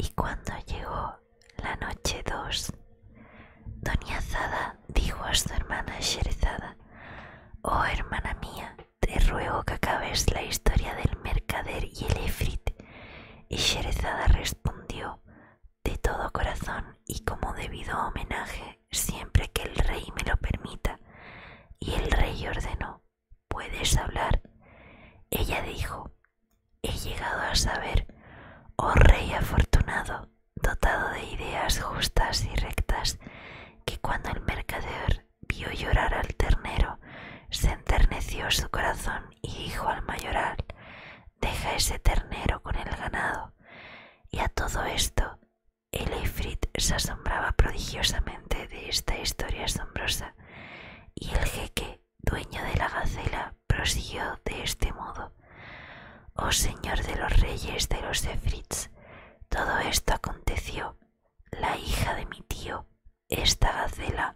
Y cuando llegó la noche dos, Doña Zada dijo a su hermana Sherezada, Oh hermana mía, te ruego que acabes la historia del mercader y el efrit. Y Sherezada respondió de todo corazón y como debido homenaje, siempre que el rey me lo permita. Y el rey ordenó, ¿puedes hablar? Ella dijo, he llegado a saber, oh rey afortunado, dotado de ideas justas y rectas, que cuando el mercader vio llorar al ternero, se enterneció su corazón y dijo al mayoral, deja ese ternero con el ganado. Y a todo esto, el efrit se asombraba prodigiosamente de esta historia asombrosa, y el jeque, dueño de la gacela, prosiguió de este modo. Oh señor de los reyes de los Efrits, todo esto aconteció. La hija de mi tío, esta gacela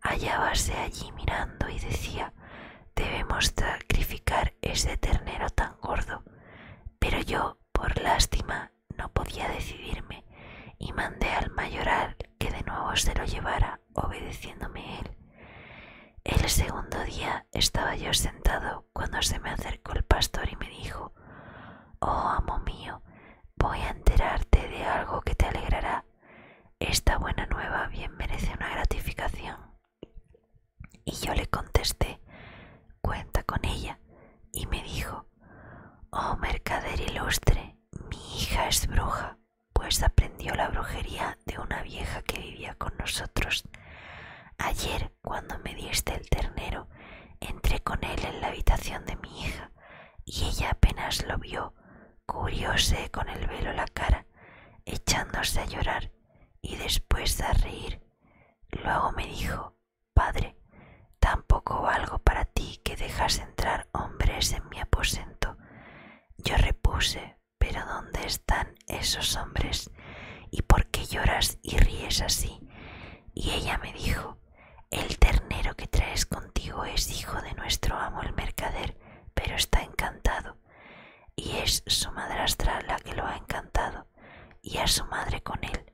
hallábase allí mirando y decía Debemos sacrificar ese ternero tan gordo. Pero yo, por lástima, no podía decidirme y mandé al mayoral que de nuevo se lo llevara, obedeciéndome él. El segundo día estaba yo sentado cuando se me acercó el pastor y me dijo Oh, amo mío, voy a enterarte de algo que te alegrará. Esta buena nueva bien merece una gratificación. Y yo le contesté, cuenta con ella, y me dijo, Oh mercader ilustre, mi hija es bruja, pues aprendió la brujería de una vieja que vivía con nosotros. Ayer, cuando me diste el ternero, entré con él en la habitación de mi hija y ella apenas lo vio, cubrióse con el velo la cara, echándose a llorar y después a reír. Luego me dijo, Padre, tampoco valgo para ti que dejas entrar hombres en mi aposento. Yo repuse, pero ¿dónde están esos hombres? ¿Y por qué lloras y ríes así? Y ella me dijo, el ternero que traes contigo es hijo de nuestro amo el mercader, pero está encantado, y es su madrastra la que lo ha encantado, y a su madre con él.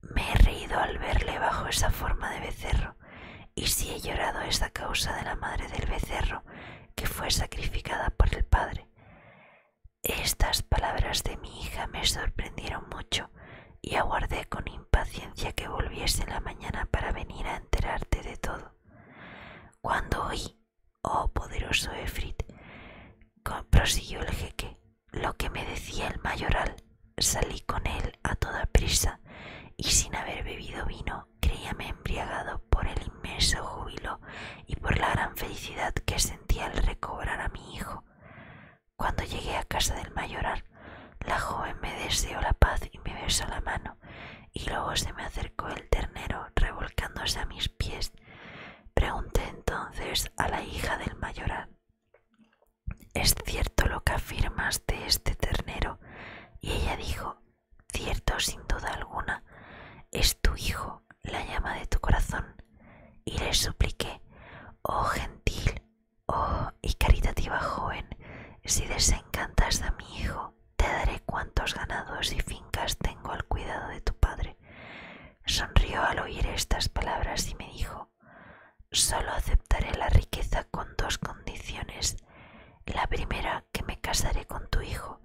Me he reído al verle bajo esa forma de becerro, y si he llorado es a causa de la madre del becerro, que fue sacrificada por el padre. Estas palabras de mi hija me sorprendieron mucho y aguardé con impaciencia que volviese la mañana para venir a enterarte de todo. Cuando oí, oh poderoso Efrit, prosiguió el jeque, lo que me decía el mayoral, salí con él a toda prisa y sin haber bebido vino, creíame embriagado por el inmenso júbilo y por la gran felicidad que sentía al recobrar a mi hijo. Cuando llegué a casa del mayorar, la joven me deseó la paz y me besó la mano, y luego se me acercó el ternero revolcándose a mis pies. Pregunté entonces a la hija del mayoral, ¿es cierto lo que afirmas de este ternero? Y ella dijo, cierto sin duda alguna, es tu hijo, la llama de tu corazón. Y le supliqué, oh gentil, oh y caritativa joven, si desencantas a mi hijo, te daré cuantos ganados y fincas tengo al cuidado de tu padre. Sonrió al oír estas palabras y me dijo, solo aceptaré la riqueza con dos condiciones, la primera que me casaré con tu hijo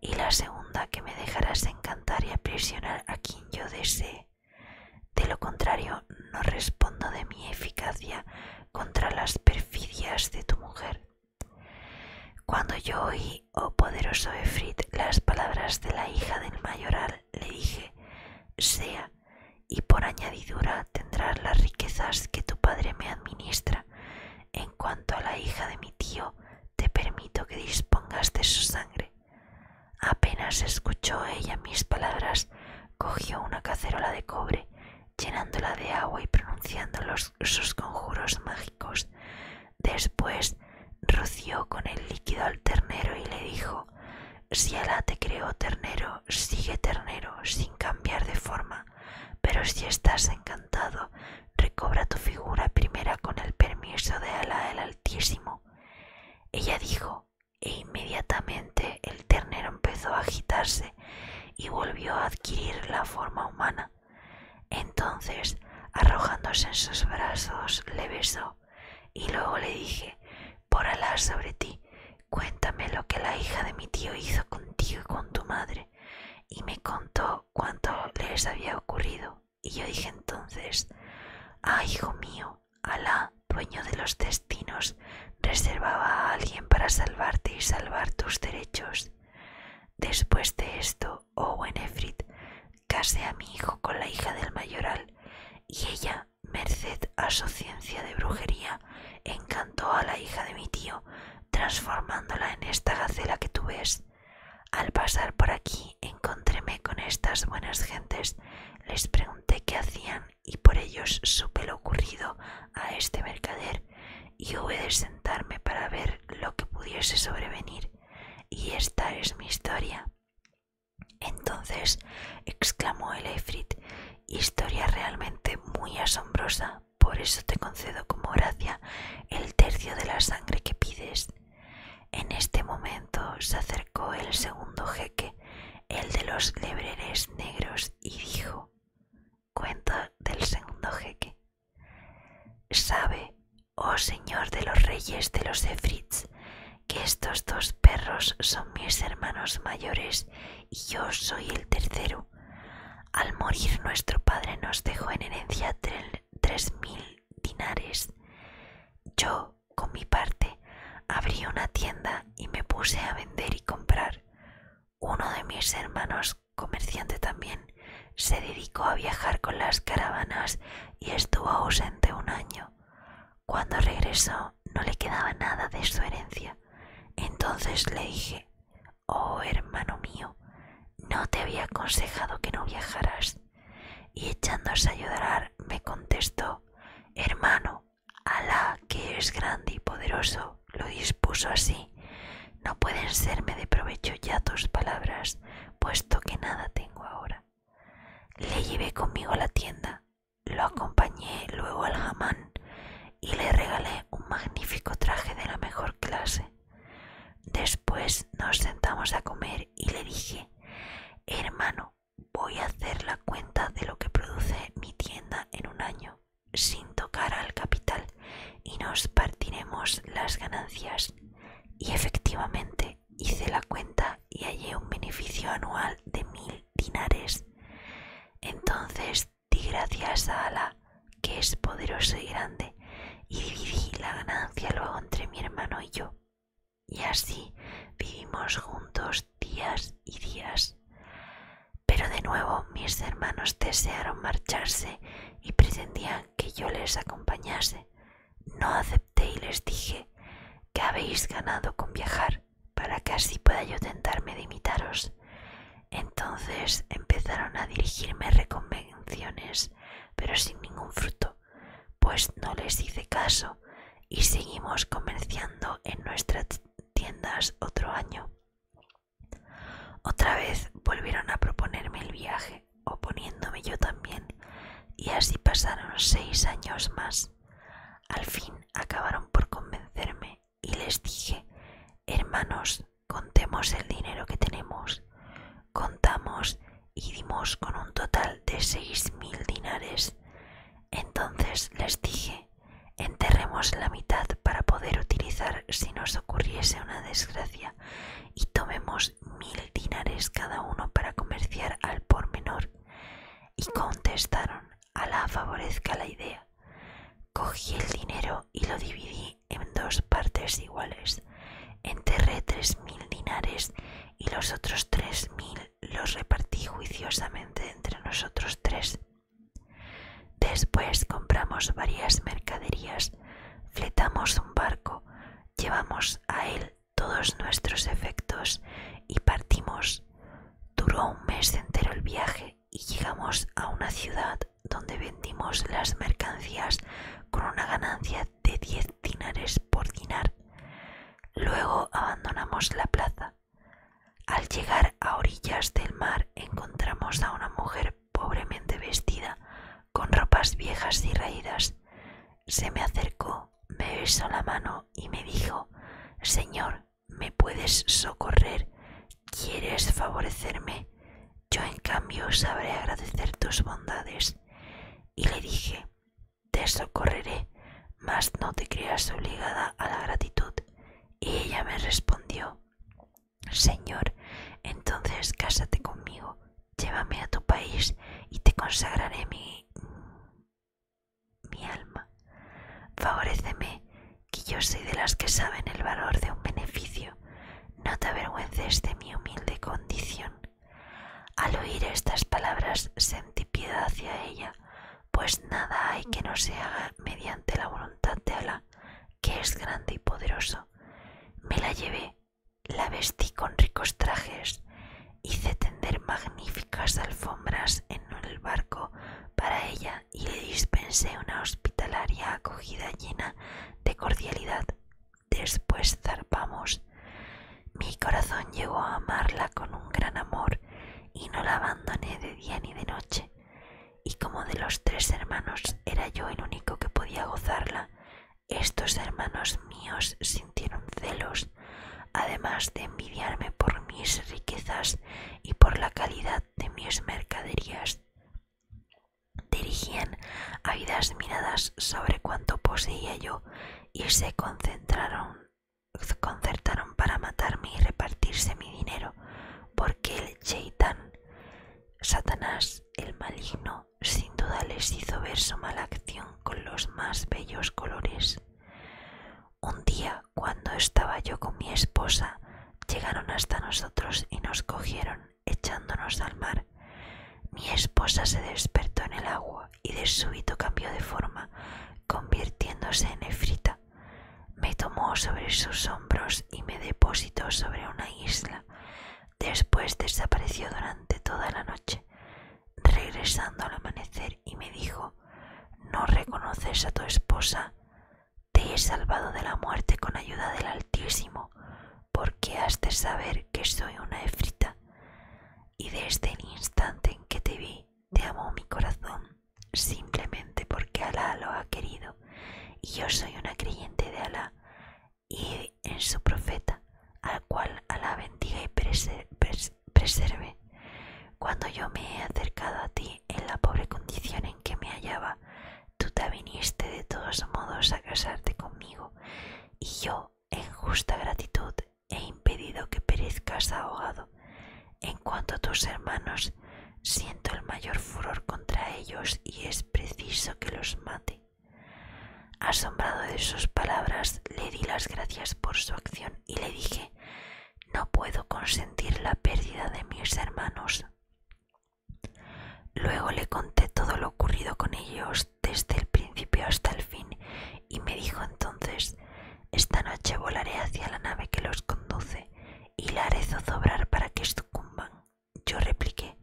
y la segunda que me dejarás encantar y aprisionar a quien yo desee. De lo contrario, no respondo de mi eficacia contra las perfidias de tu mujer. Cuando yo oí, oh poderoso Efrit, las palabras de la hija del mayoral, le dije, sea, y por añadidura tendrás las riquezas que tu padre me administra. En cuanto a la hija de mi tío, te permito que dispongas de su sangre. Apenas escuchó ella mis palabras, cogió una cacerola de cobre, llenándola de agua y pronunciando sus conjuros mágicos. Después roció con el líquido al ternero y le dijo Si Alá te creó ternero, sigue ternero, sin cambiar de forma, pero si estás encantado, recobra tu figura primera con el permiso de Alá el Altísimo ella dijo, e inmediatamente el ternero empezó a agitarse y volvió a adquirir la forma humana. Entonces, arrojándose en sus brazos, le besó y luego le dije, por alas sobre ti, cuéntame lo que la hija de mi tío hizo contigo y con tu madre, y me contó cuánto les había ocurrido. Y yo dije entonces, ah, hijo mío, Alá, dueño de los destinos, reservaba a alguien para salvarte y salvar tus derechos. Después de esto, oh Benefrit, casé a mi hijo con la hija del mayoral, y ella, merced a su ciencia de brujería, encantó a la hija de mi tío, transformándola en esta gacela que tú ves. Al pasar por aquí encontréme con estas buenas gentes, les pregunté qué hacían y por ellos supe lo ocurrido a este mercader y hube de sentarme para ver lo que pudiese sobrevenir y esta es mi historia. Entonces exclamó el Efrit, historia realmente muy asombrosa, por eso te concedo como gracia el tercio de la sangre que pides. En este momento se acercó el segundo jeque, el de los lebreres negros, y dijo, cuenta del segundo jeque. Sabe, oh señor de los reyes de los Efrits, que estos dos perros son mis hermanos mayores y yo soy el tercero. Al morir nuestro padre nos dejó en herencia tres mil dinares. Yo, con mi parte, abrí una tienda y me puse a vender y comprar. Uno de mis hermanos, comerciante también, se dedicó a viajar con las caravanas y estuvo ausente un año. Cuando regresó no le quedaba nada de su herencia. Entonces le dije, Oh hermano mío, no te había aconsejado que no viajaras y echándose a ayudar, me contestó Hermano, Alá, que es grande y poderoso, lo dispuso así. No pueden serme de provecho ya tus palabras, puesto que nada tengo ahora. Le llevé conmigo a la tienda, lo acompañé luego al jamán y le regalé un magnífico traje de la mejor clase. Después nos sentamos a comer y le dije, hermano, voy a hacer la cuenta de lo que produce mi tienda en un año, sin tocar al capital, y nos partiremos las ganancias. Y efectivamente hice la cuenta y hallé un beneficio anual de mil dinares. Entonces di gracias a Ala, que es poderoso y grande y dividí la ganancia luego entre mi hermano y yo. Y así vivimos juntos días y días. Pero de nuevo mis hermanos desearon marcharse y pretendían que yo les acompañase. No acepté y les dije que habéis ganado con viajar para que así pueda yo tentarme de imitaros. Entonces empezaron a dirigirme reconvenciones pero sin ningún fruto, pues no les hice caso y seguimos comerciando en nuestras tiendas otro año. Otra vez volvieron a proponerme el viaje, oponiéndome yo también, y así pasaron seis años más. Al fin acabaron por convencerme y les dije, hermanos, contemos el dinero que tenemos. Contamos y dimos con un total de seis mil dinares. Entonces les dije, enterremos la mitad para poder utilizar si nos ocurriese una desgracia y tomemos mil dinares cada uno para comerciar al por menor. Y contestaron, a la favorezca la idea. Cogí el dinero y lo dividí en dos partes iguales. Enterré tres mil dinares y los otros tres mil los repartí juiciosamente entre nosotros tres. Después compramos varias mercaderías, fletamos un barco, llevamos a él todos nuestros efectos y partimos. Duró un mes entero el viaje y llegamos a una ciudad donde vendimos las mercancías con una ganancia de diez dinares por dinar. Luego abandonamos la plaza. Al llegar a orillas del mar encontramos a una mujer pobremente vestida, con ropas viejas y raídas. Se me acercó, me besó la mano y me dijo, Señor, ¿me puedes socorrer? ¿Quieres favorecerme? Yo en cambio sabré agradecer tus bondades. Y le dije, te socorreré, mas no te creas obligada a la gratitud. Y ella me respondió, Señor, entonces cásate conmigo, llévame a tu país y te consagraré mi, mi alma. Favoréceme, que yo soy de las que saben el valor de un beneficio, no te avergüences de mi humilde condición. Al oír estas palabras sentí piedad hacia ella, pues nada hay que no se haga mediante la voluntad de Allah, que es grande y poderoso. Me la llevé, la vestí con ricos trajes, hice tender magníficas alfombras en el barco para ella y le dispensé una hospitalaria acogida llena de cordialidad Después zarpamos. Mi corazón llegó a amarla con un gran amor y no la abandoné de día ni de noche. Y como de los tres hermanos era yo el único que podía gozarla, estos hermanos míos sintieron celos, además de envidiarme por mis riquezas y por la calidad de mis mercaderías dirigían ávidas miradas sobre cuanto poseía yo y se concentraron, concertaron para matarme y repartirse mi dinero, porque el Chaitán, Satanás el maligno, sin duda les hizo ver su mala acción con los más bellos colores. Un día, cuando estaba yo con mi esposa, llegaron hasta nosotros y nos cogieron echándonos al mar. Mi esposa se despertó en el agua y de súbito cambió de forma, convirtiéndose en Efrita. Me tomó sobre sus hombros y me depositó sobre una isla. Después desapareció durante toda la noche, regresando al amanecer y me dijo, ¿no reconoces a tu esposa? te he salvado de la muerte con ayuda del Altísimo, porque has de saber que soy una efrita, y desde el este instante en que te vi, te amo mi corazón, simplemente porque Alá lo ha querido, y yo soy una creyente de Alá y en su profeta, al cual Alá bendiga y Preserve. Cuando yo me he acercado a ti en la pobre condición en que me hallaba, Tú te viniste de todos modos a casarte conmigo, y yo, en justa gratitud, he impedido que perezcas ahogado. En cuanto a tus hermanos, siento el mayor furor contra ellos y es preciso que los mate. Asombrado de sus palabras, le di las gracias por su acción y le dije, no puedo consentir la pérdida de mis hermanos. Luego le conté todo lo ocurrido con ellos desde el principio hasta el fin y me dijo entonces, esta noche volaré hacia la nave que los conduce y la haré zozobrar para que sucumban. Yo repliqué,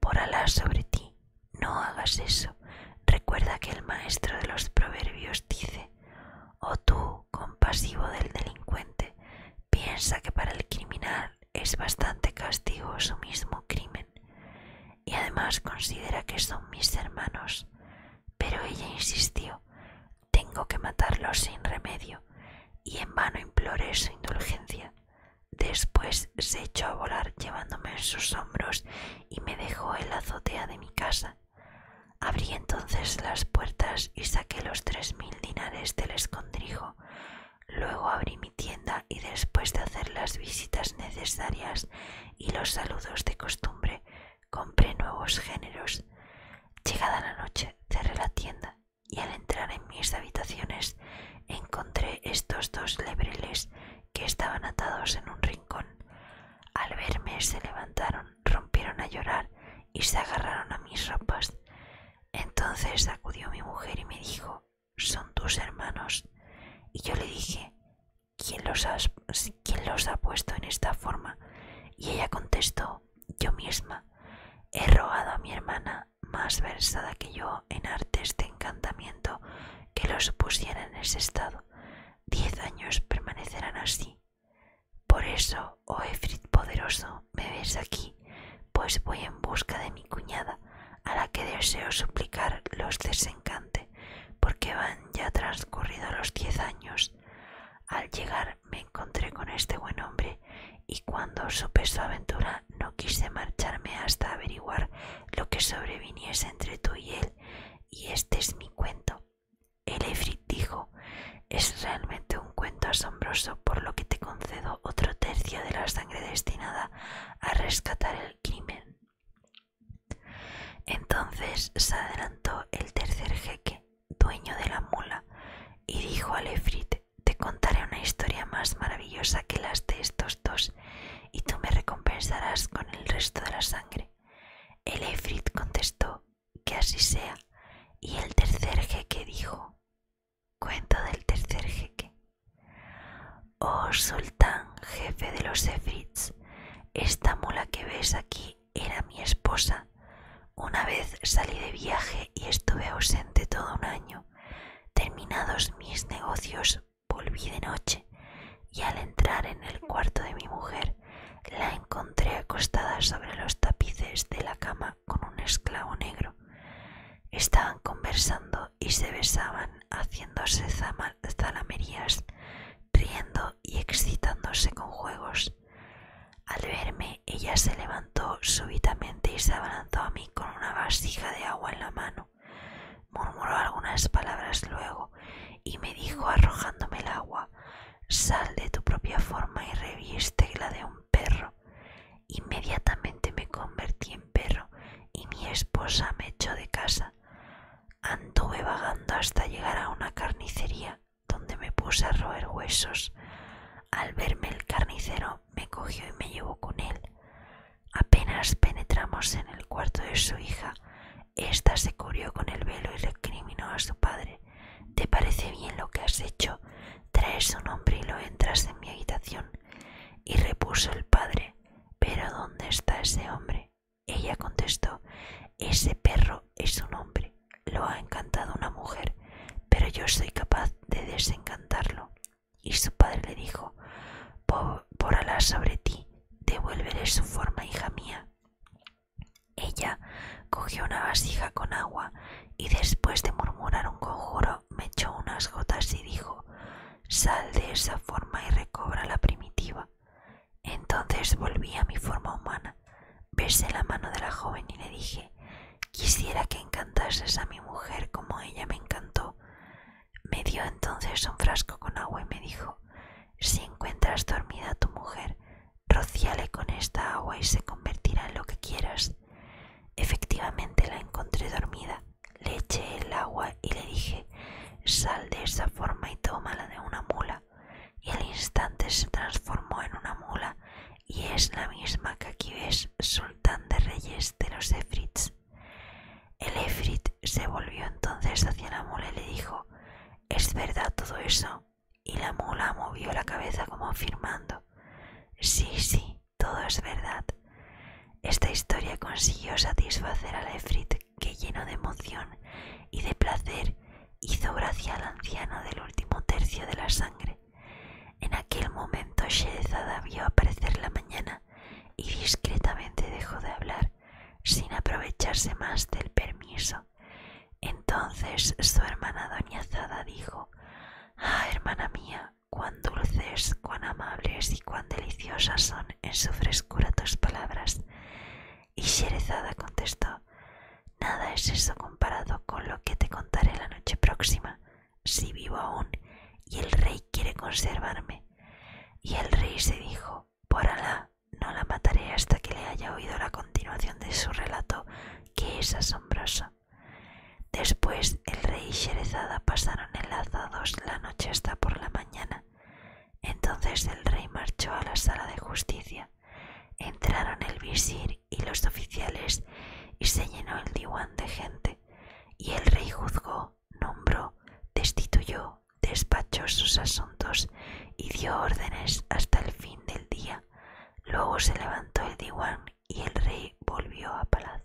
por Alá sobre ti, no hagas eso. Recuerda que el maestro de los proverbios dice, oh tú, compasivo del delincuente, piensa que para el criminal es bastante castigo su mismo crimen y además considera que son mis hermanos. Pero ella insistió, tengo que matarlos sin remedio y en vano imploré su indulgencia. Después se echó a volar llevándome en sus hombros y me dejó en la azotea de mi casa. Abrí entonces las puertas y saqué los tres mil dinares del escondrijo Luego abrí mi tienda y después de hacer las visitas necesarias y los saludos de costumbre, compré nuevos géneros. Llegada la noche, cerré la tienda y al entrar en mis habitaciones encontré estos dos lebreles que estaban atados en un rincón. Al verme se levantaron, rompieron a llorar y se agarraron a mis ropas. Entonces acudió mi mujer y me dijo, son tus hermanos. Y yo le dije, ¿Quién los, ha puesto en esta forma? Y ella contestó, yo misma. He rogado a mi hermana, más versada que yo en artes de encantamiento, que los pusiera en ese estado. Diez años permanecerán así por eso, oh Efrit poderoso, me ves aquí, pues voy en busca de mi cuñada, a la que deseo suplicar los desencante, porque van ya transcurridos los diez años. Al llegar me encontré con este buen hombre, y cuando supe su aventura no quise marcharme hasta averiguar lo que sobreviniese entre tú y él, y este es mi cuento. El Efrit dijo es realmente un cuento asombroso por lo que te concedo otro tercio de la sangre destinada a rescatar el crimen. Entonces se adelantó el tercer jeque, dueño de la mula, y dijo al Efrit, te contaré una historia más maravillosa que las de estos dos, y tú me recompensarás con el resto de la sangre. El Efrit contestó, que así sea. Y el tercer jeque dijo, cuento del tercer jeque. Oh sultán, jefe de los efrits, esta mula que ves aquí era mi esposa. Una vez salí de viaje y estuve ausente todo un año. Terminados mis negocios, volví de noche y al entrar en el cuarto de mi mujer la encontré acostada sobre los tapices de la cama con un esclavo negro. Estaban conversando y se besaban, haciéndose zalamerías, riendo y excitándose con juegos. Al verme, ella se levantó súbitamente y se abalanzó a mí con una vasija de agua en la mano. Murmuró algunas palabras luego y me dijo arrojándome el agua Sal de tu propia forma y reviste la de un perro. Inmediatamente me convertí en perro y mi esposa me echó de casa. Anduve vagando hasta llegar a una carnicería donde me puse a roer huesos. Al verme el carnicero me cogió y me llevó con él. Apenas penetramos en el cuarto de su hija, ésta se cubrió con el velo y recriminó a su padre. ¿Te parece bien lo que has hecho? Traes un hombre y lo entras en mi habitación. Y repuso el padre, ¿pero dónde está ese hombre? Ella contestó, ese perro es un hombre, lo ha encantado una mujer, pero yo soy capaz de desencantarlo. Y su padre le dijo, por, alas sobre ti, devuélvele su forma, hija mía. Ella cogió una vasija con agua y después de murmurar un conjuro me echó unas gotas y dijo Sal de esa forma y recobra la primitiva. Entonces volví a mi forma humana, besé la mano de la joven y le dije Quisiera que encantases a mi mujer como ella me encantó. Me dio entonces un frasco con agua y me dijo Si encuentras dormida tu mujer, Rocíale con esta agua y se convertirá en lo que quieras. Efectivamente la encontré dormida. Le eché el agua y le dije, sal de esa forma y la de una mula. Y al instante se transformó en una mula y es la misma que aquí ves, sultán de reyes de los Efrits. El Efrit se volvió entonces hacia la mula y le dijo, ¿es verdad todo eso? y la mula movió la cabeza como afirmando Sí, sí, todo es verdad. Esta historia consiguió satisfacer a Efrit, que lleno de emoción y de placer hizo gracia al anciano del último tercio de la sangre. En aquel momento Sherezada vio aparecer la mañana y discretamente dejó de hablar, sin aprovecharse más del permiso entonces su hermana doña Zada dijo, Ah, hermana mía, cuán dulces, cuán amables y cuán deliciosas son en su frescura tus palabras. Y Sherezada contestó, Nada es eso comparado con lo que te contaré la noche próxima, si vivo aún, y el rey quiere conservarme. Y el rey se dijo, Por Alá, no la mataré hasta que le haya oído la continuación de su relato, que es asombroso. Después el rey y Sherezada pasaron enlazados la noche hasta por la mañana. Entonces el rey marchó a la sala de justicia. Entraron el visir y los oficiales y se llenó el diwan de gente. Y el rey juzgó, nombró, destituyó, despachó sus asuntos y dio órdenes hasta el fin del día. Luego se levantó el diwan y el rey volvió a palacio.